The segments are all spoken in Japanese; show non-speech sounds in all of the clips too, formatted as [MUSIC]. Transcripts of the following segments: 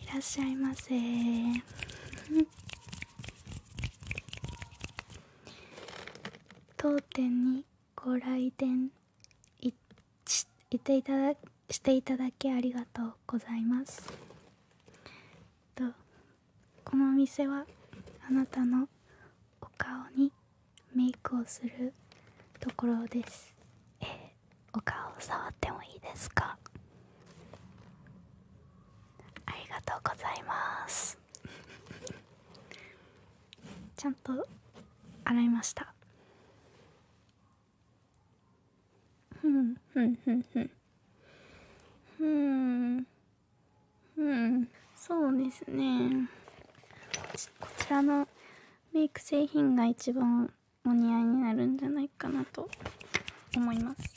いらっしゃいませ [LAUGHS] 当店にご来店いししていただしていただきありがとうございますとこのお店はあなたのお顔にメイクをするところですえお顔を触ってもいいですかありがとうございますちゃんと洗いましたふんふんふんふんうんうんそうですねこちらのメイク製品が一番お似合いになるんじゃないかなと思います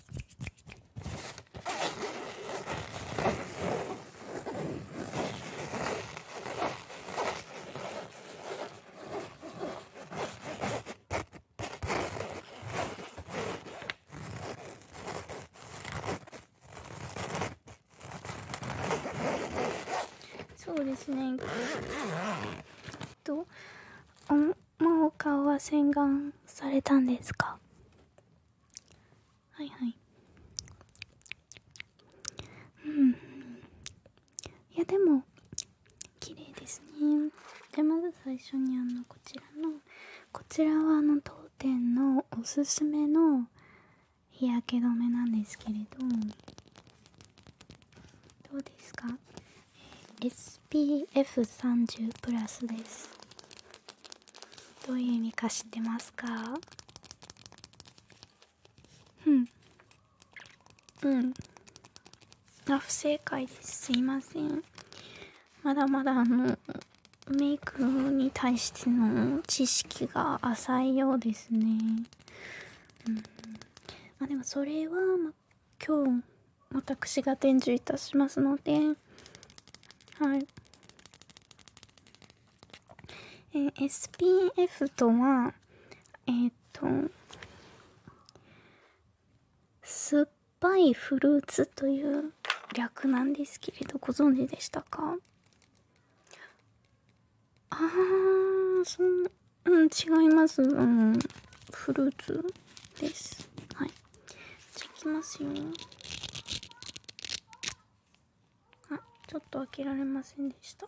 そうですねと真央かは洗顔されたんですかはいはいうんいやでも綺麗ですねじまず最初にあのこちらのこちらはあの当店のおすすめの日焼け止めなんですけれどどうですか SPF30 ですどういう意味か知ってますかうんうんあ不正解ですすいませんまだまだあのメイクに対しての知識が浅いようですね。うん、あでもそれは、ま、今日私が伝授いたしますので、はい。え SPF とは、えっ、と、酸っぱいフルーツという略なんですけれどご存知でしたかああ、そんな、うん違いますうんフルーツですはいじゃあいきますよあちょっと開けられませんでした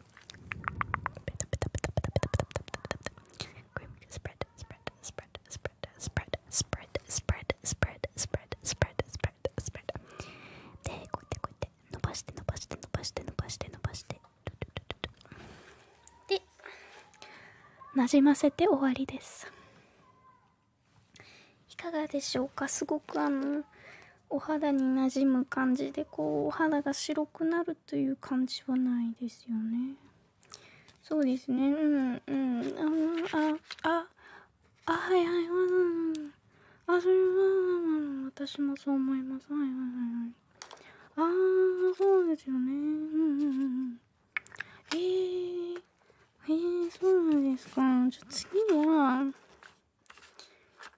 タペタペタペタペタペタペタペタペタクリームスプレッドスプレッドスプレッドスプレッドスプレッドスプレッドスプレッドスプレッドスプレッドスプレッドスプレッドスプレッドでこうやってこうやって伸ばして伸ばして伸ばして伸ばしてでなじませて終わりですいかがでしょうかすごくあのお肌になじむ感じでこうお肌が白くなっという感じはないですよねそうですねうんうんあああはいはいはいあそれは私もそう思いますはいはいはいああそうですよねうんうんうんえー、えー、そうなんですかじゃ次は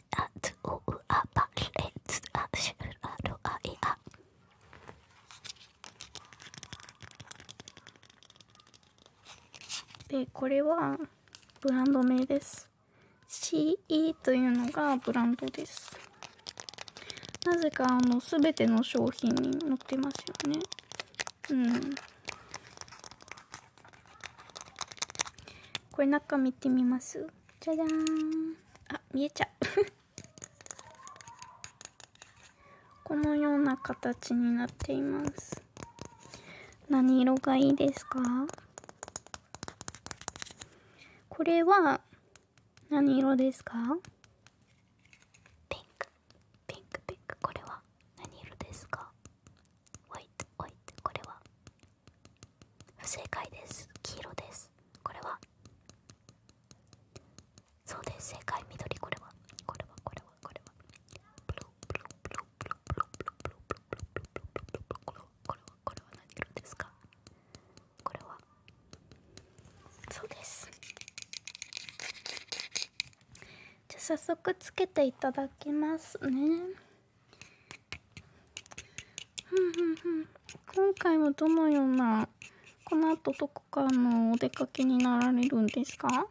しあつおうあばれつあしゅらろあいあでこれはブランド名です CE というのがブランドですなぜかあの全ての商品に載ってますよねうんこれ中見てみますじゃじゃんあ見えちゃう [LAUGHS] このような形になっています何色がいいですかこれは何色ですかピンクピンクピンクこれは何色ですかホイトホイトこれは不正解です黄色ですこれはそうです正解緑これはこれはこれはこれはこれはこれはこれは何ですかこれはそうですじゃあ早速つけていただきますねふんふんふん今回はどのようなこの後どこかのお出かけになられるんですかあ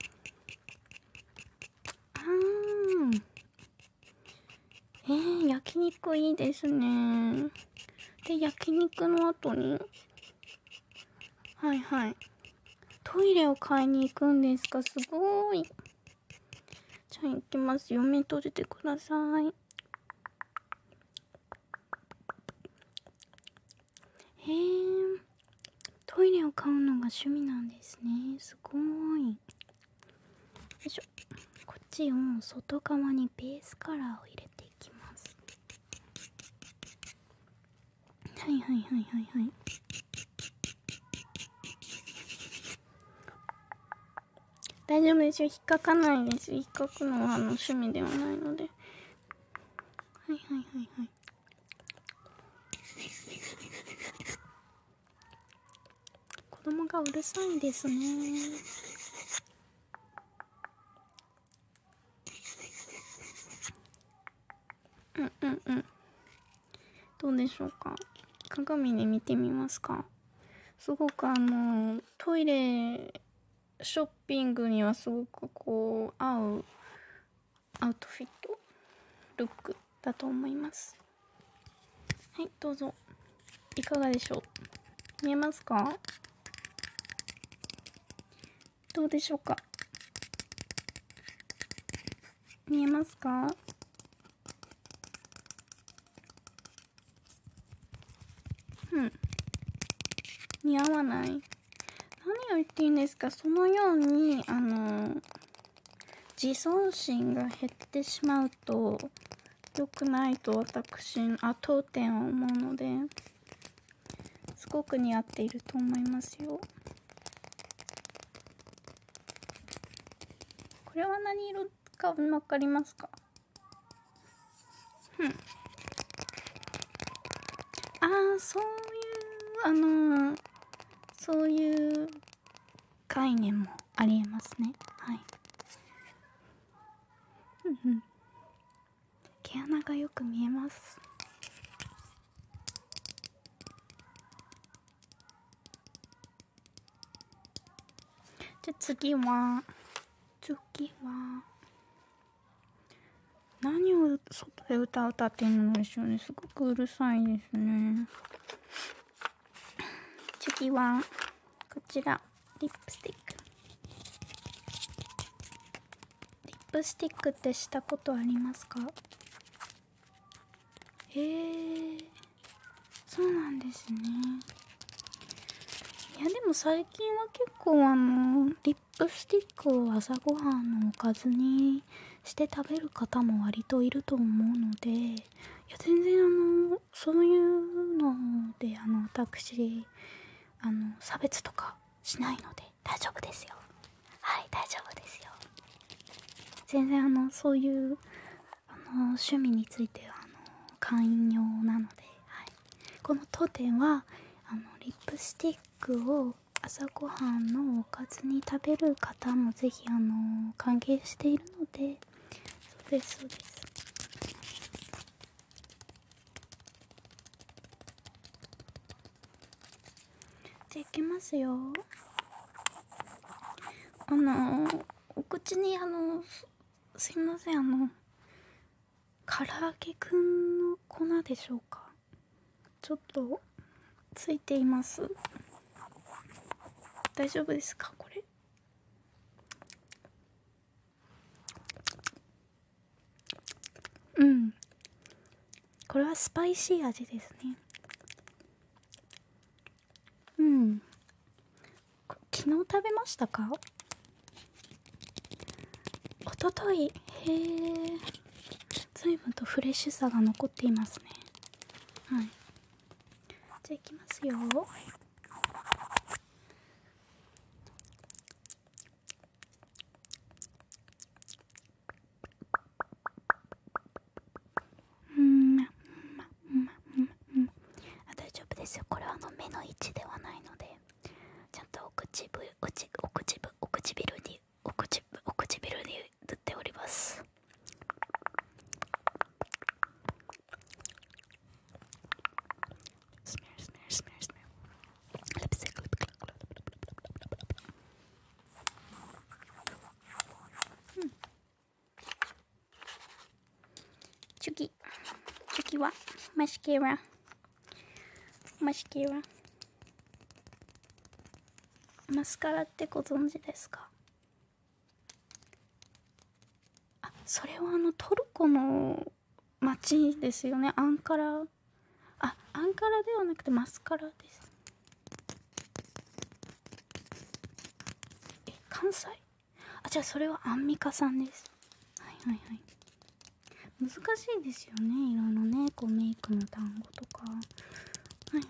ーえー、焼肉いいですねで焼肉の後にはいはいトイレを買いに行くんですかすごいじゃあ行きます読み取じてくださいへえトイレを買うのが趣味なんですねすごいよいしょこっちを外側にベースカラーを入れていきますはいはいはいはいはい大丈夫ですよ引っかかないです引っかくのはあの趣味ではないのではいはいはいはい子供がうるさいですねうんうんうんどうでしょうか鏡で見てみますかすごくあのトイレショッピングにはすごくこう合うアウトフィットルックだと思いますはいどうぞいかがでしょう見えますかどうでしょうか見えますかうん似合わない何を言っていいんですかそのようにあの自尊心が減ってしまうと良くないと私あ当店は思うのですごく似合っていると思いますよこれは何色か分かりますかうん。ああ、そういう、あのそういう概念もありえますね。はい。うんうん。毛穴がよく見えます。じゃ次は次は何を外で歌うたっていうのでしょうねすごくうるさいですね次はこちらリップスティックリップスティックってしたことありますかへえそうなんですねいやでも最近は結構あのリップスティックを朝ごはんのおかずにして食べる方も割といると思うのでいや全然あのそういうのであの私あの差別とかしないので大丈夫ですよはい大丈夫ですよ全然あのそういうあの趣味についてはあの会員用なので、この当店はあのリップスティックを朝ごはんのおかずに食べる方もぜひあの歓迎しているのでそうですそうですじゃあいきますよあのお口にあのすいませんあの唐揚げくんの粉でしょうかちょっとついています大丈夫ですかこれうんこれはスパイシー味ですねうん昨日食べましたかおとといへえ随分とフレッシュさが残っていますねはいじゃあいきますようんまうんうんうん大丈夫ですよこれはあの目の位置ではないのでちゃんとお口ぶおちお口ぶお唇にお口ぶお唇に塗っておりますチチキ。次キはマシキケラマシキケラマスカラってご存知ですかあそれはあのトルコの街ですよねアンカラあアンカラではなくてマスカラですえ関西あじゃあそれはアンミカさんですはいはいはい難しいですよね色のねこうメイクの単語とかはいはい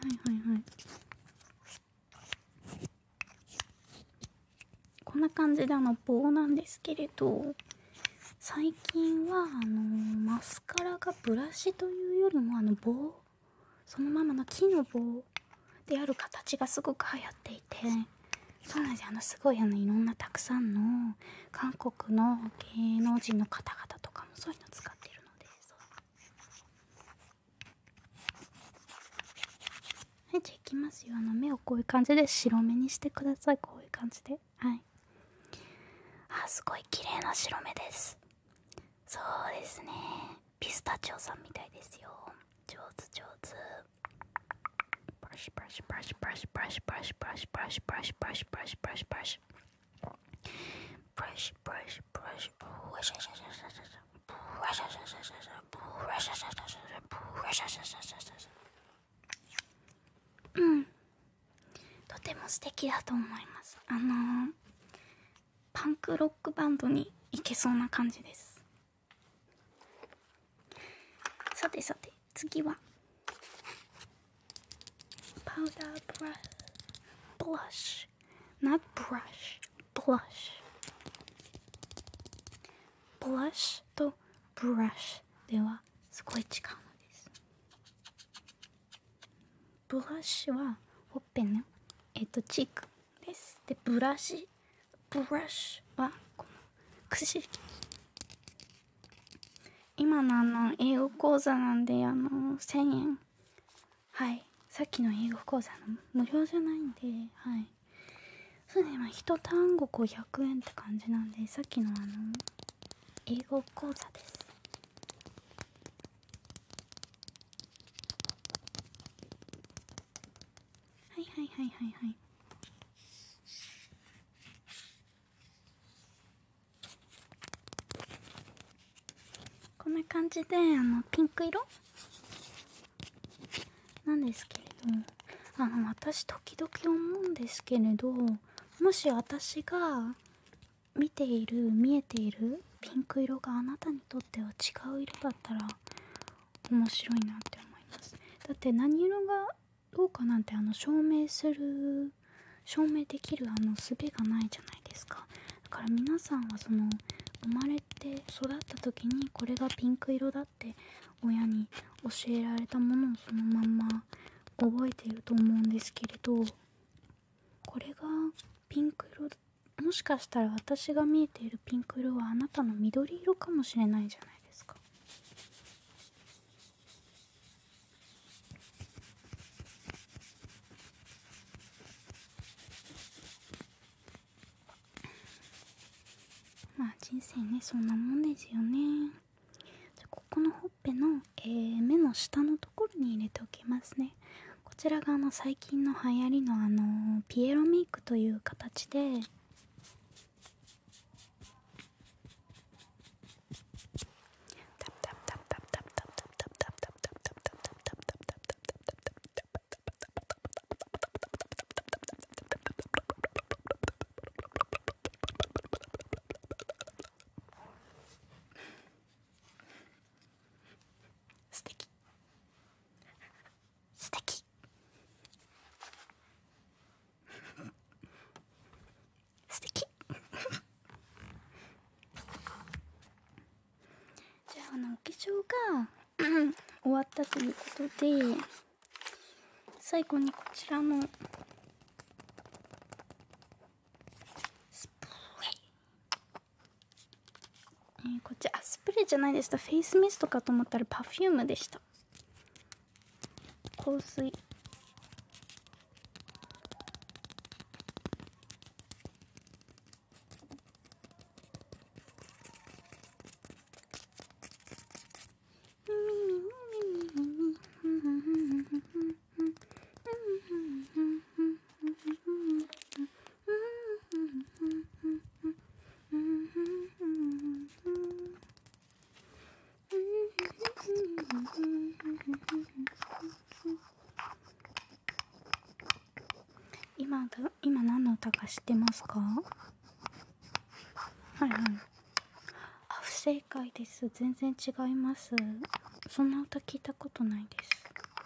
はいはいこんな感じであの棒なんですけれど最近はあのマスカラがブラシというよりもあの棒そのままの木の棒である形がすごく流行っていてそうなんですよあのすごいあのいろんなたくさんの韓国の芸能人の方々とかもそういうの使ってるのではいじゃあいきますよあの目をこういう感じで白目にしてくださいこういう感じではいあすごい綺麗な白目ですそうですねピスタチオさんみたいですよ上手上手ブラシブラシブラシブラシブラシブラシブラシブラシブラシブラシブラさてさて次はパウダーブラッシュブラッシュ not brush b l とブラッシ h ではすごい違うのですブラッシュはオッペのえっとチークですでブラシブラシはこのくじ今のあの英語講座なんであの1000円はいさっきの英語講座の無料じゃないんではいそうですねまあ1単語500円って感じなんでさっきのあの英語講座ですはいはいはいはいはいこんな感じであのピンク色なんですけれどあの私時々思うんですけれどもし私が見ている見えているピンク色があなたにとっては違う色だったら面白いなって思いますだって何色がどうかなんてあの証明する証明できるあの術がないじゃないですかだから皆さんはその生まれて育った時にこれがピンク色だって親に教えられたものをそのまんま覚えていると思うんですけれどこれがピンク色もしかしたら私が見えているピンク色はあなたの緑色かもしれないじゃないですかまあ人生ねそんなもんですよねじゃここのほっぺの、えー、目の下のところに入れておきますねこちらが最近の流行りのピエロメイクという形で素敵素敵素敵じゃああのお化粧が [CLEARS THROAT] 終わったということで最後にこちらのスプレーえー、こっちあスプレーじゃないでしたフェイスミストかと思ったらパフュームでした香水今今何の歌か知ってますかはいはいあ不正解です全然違いますそんな歌聞いたことないです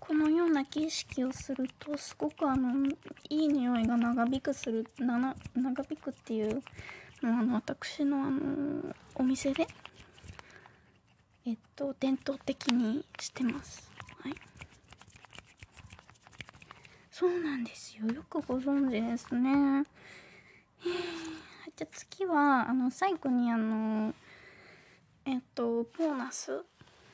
このような景色をするとすごくあのいい匂いが長引くする長引くっていうのあの私のあのお店でえっと伝統的にしてます。はい、そうなんですよよくご存知ですね。じゃあ次はあの最後にあのえっとボーナス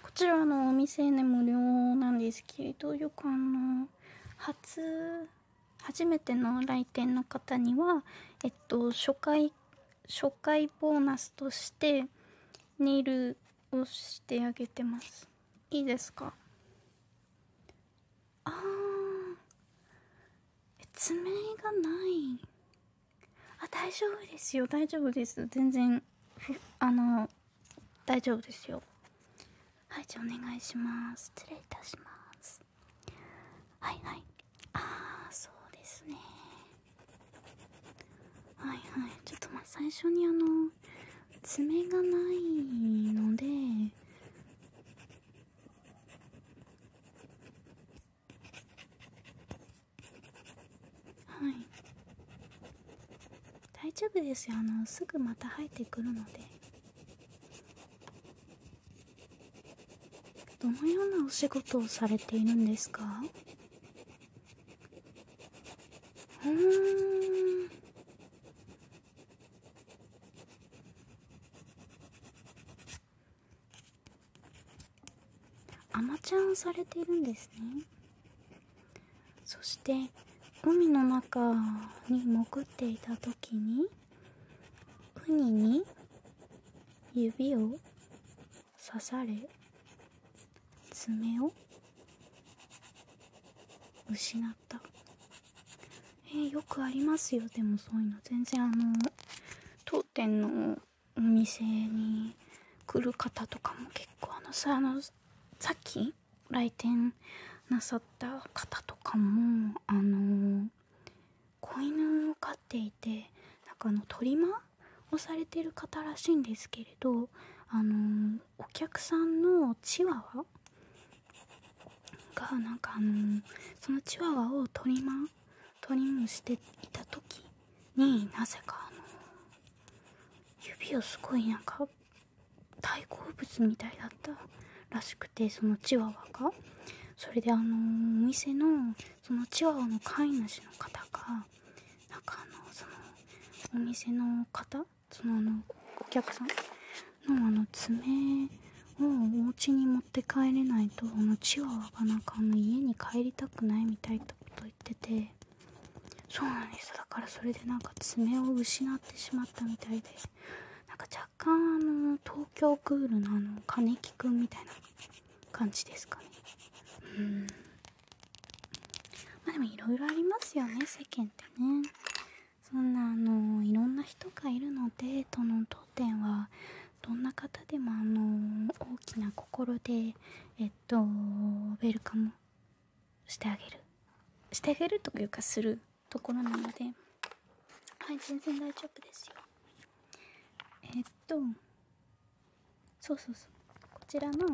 こちらのお店で無料なんですけれどよくあの初初めての来店の方にはえっと初回初回ボーナスとしてネイルをしてあげてますいいですかああ爪がないあ大丈夫ですよ大丈夫です全然あの大丈夫ですよはいじゃあお願いします失礼いたしますはいはいああそうですねはいはいちょっとまあ最初にあの爪がないのではい大丈夫ですよあのすぐまた生えてくるのでどのようなお仕事をされているんですかうーんアマちゃんされているんですねそしてゴミの中に潜っていた時にウニに指を刺され爪を失ったえよくありますよでもそういうの全然あの当店のお店に来る方とかも結構あのさあのさっき来店なさった方とかもあの子犬を飼っていてなんかあのトりマをされてる方らしいんですけれどあのお客さんのチワワがなんかあのそのチワワをトリマートリムしていた時になぜか指をすごいなんか大好物みたいだったらしくてそのチワワがそれであのお店のそのチワワの飼い主の方がなかのそのお店の方そのお客さんのあの爪をお家に持帰れないとあのチワワがなんかあの家に帰りたくないみたいなこと言っててそうなんですだからそれでなんか爪を失ってしまったみたいでなんか若干あの東京クールのあの金木くんみたいな感じですかねうんまあでもいろいろありますよね世間ってねそんなあのいろんな人がいるのでどのどどんな方でもの大きな心でえっとウェルカムしてあげるしてあげるというかするところなのではい全然大丈夫ですよえっとそうそうそうこちらの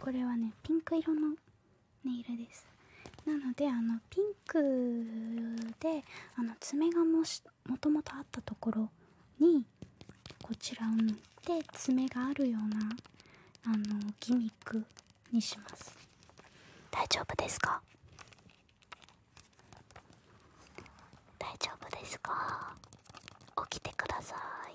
これはねピンク色のネイルですなのであのピンクであの爪がもしもともとあったところにこちらを塗って爪があるようなあのギミックにします大丈夫ですか大丈夫ですか起きてください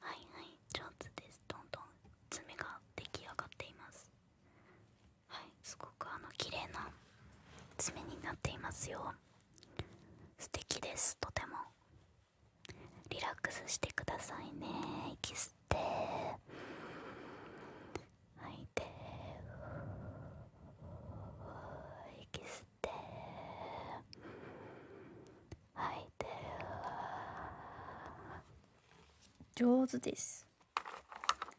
はいはい上手ですどんどん爪が出来上がっていますはいすごくあの綺麗な爪になっていますよ素敵ですとてもリラックスしてくださいね息吸って吐いて息吸って吐い上手です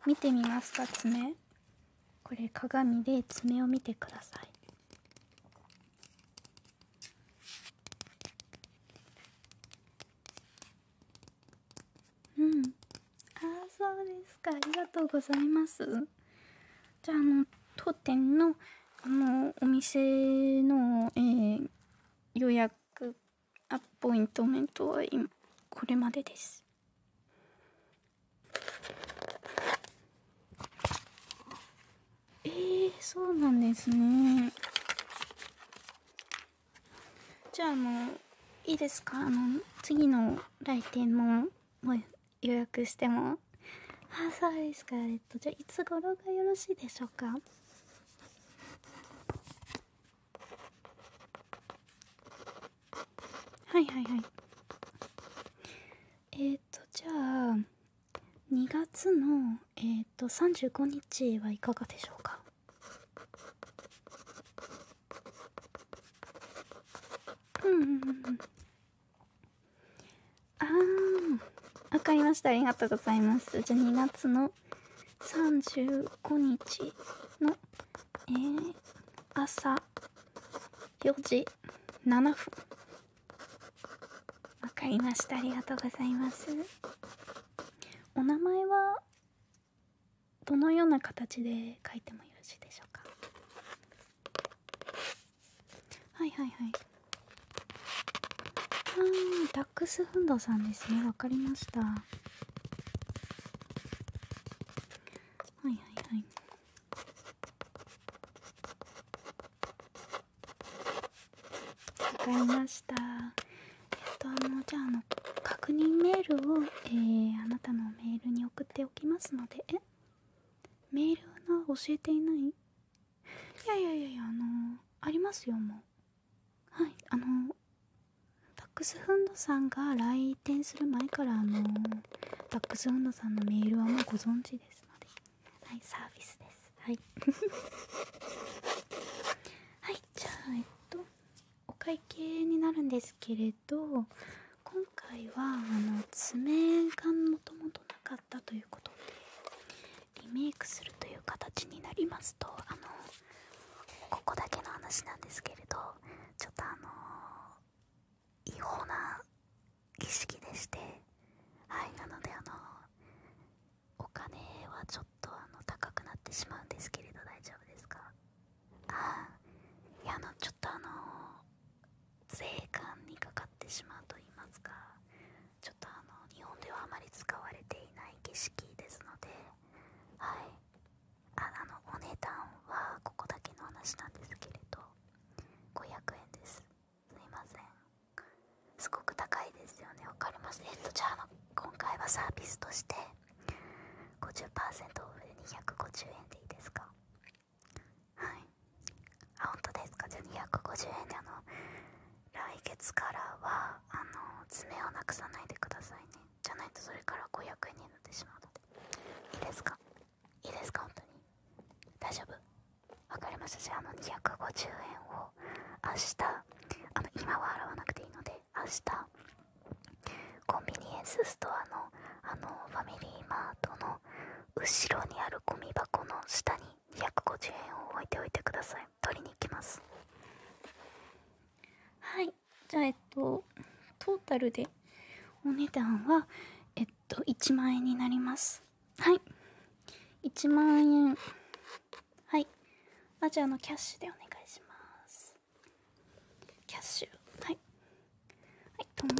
見てみますか爪これ鏡で爪を見てくださいうんああそうですかありがとうございますじゃああの当店のあのお店の、えー、予約アポイントメントは今これまでですえー、そうなんですねじゃああのいいですかあの次の来店もも予約してもあそうですかえっとじゃあいつ頃がよろしいでしょうかはいはいはいえっ、とじゃあ2月のえっ、ー、と35日はいかがでしょうかうんうんうんああわかりましたありがとうございますじゃあ2月の35日のえ朝4時7分わかりましたありがとうございますお名前はどのような形で書いてもよろしいでしょうかはいはいはいあダックスフンドさんですねわかりましたはいはいはいわかりましたえっとあのじゃああの確認メールを、えー、あなたのメールに送っておきますのでえメールの教えていないいやいやいやいやあのありますよもうはいあのダックスフンドさんが来店する前からあのダックスフンドさんのメールはもうご存知ですのではいサービスですはい [LAUGHS] じゃあえっとお会計になるんですけれど今回はあの爪がもともとなか使ということでリメイクするという形になりますとあのここだけの話なんですけれどちょっとあの違法な儀式でしてはいなのであのお金はちょっとあの高くなってしまうんですけれど大丈夫ですかあいやあのちょっとあの税関にかかってしまうと言いますかちょっとあの日本ではあまり使われていない景色ですのではいあのお値段はここだけの話なんですけれど500円ですすみませんすごく高いですよねわかりますえっとじゃあの今回はサービスとして50%オフで250円でいいですかはいあ本当ですかじゃあ250円であの来月からはあの爪をなくさないでくださいねじゃないとそれから500円になってしまうのでいいですかいいですか本当に大丈夫わかりましたじゃあの250円を明日あの今は払わなくていいので明日コンビニエンスストアのあのファミリーマートの後ろにあるゴミ箱の下に250円を置いておいてください取りに行きますはいじゃあえっとトータルでお値段はえっと1万円になりますはい1万円はいあじゃのキャッシュでお願いしますキャッシュはいはいとも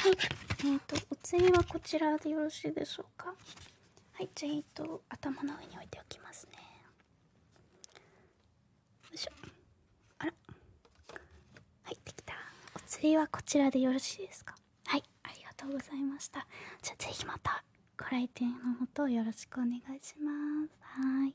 はい、えーと、お次はこちらでよろしいでしょうか。はい、じゃあ、えっ、と、頭の上に置いておきますね。よいしょ。あら。はい、できた。お釣りはこちらでよろしいですか。はい、ありがとうございました。じゃあ、ぜひまたご来店のほどよろしくお願いします。はい。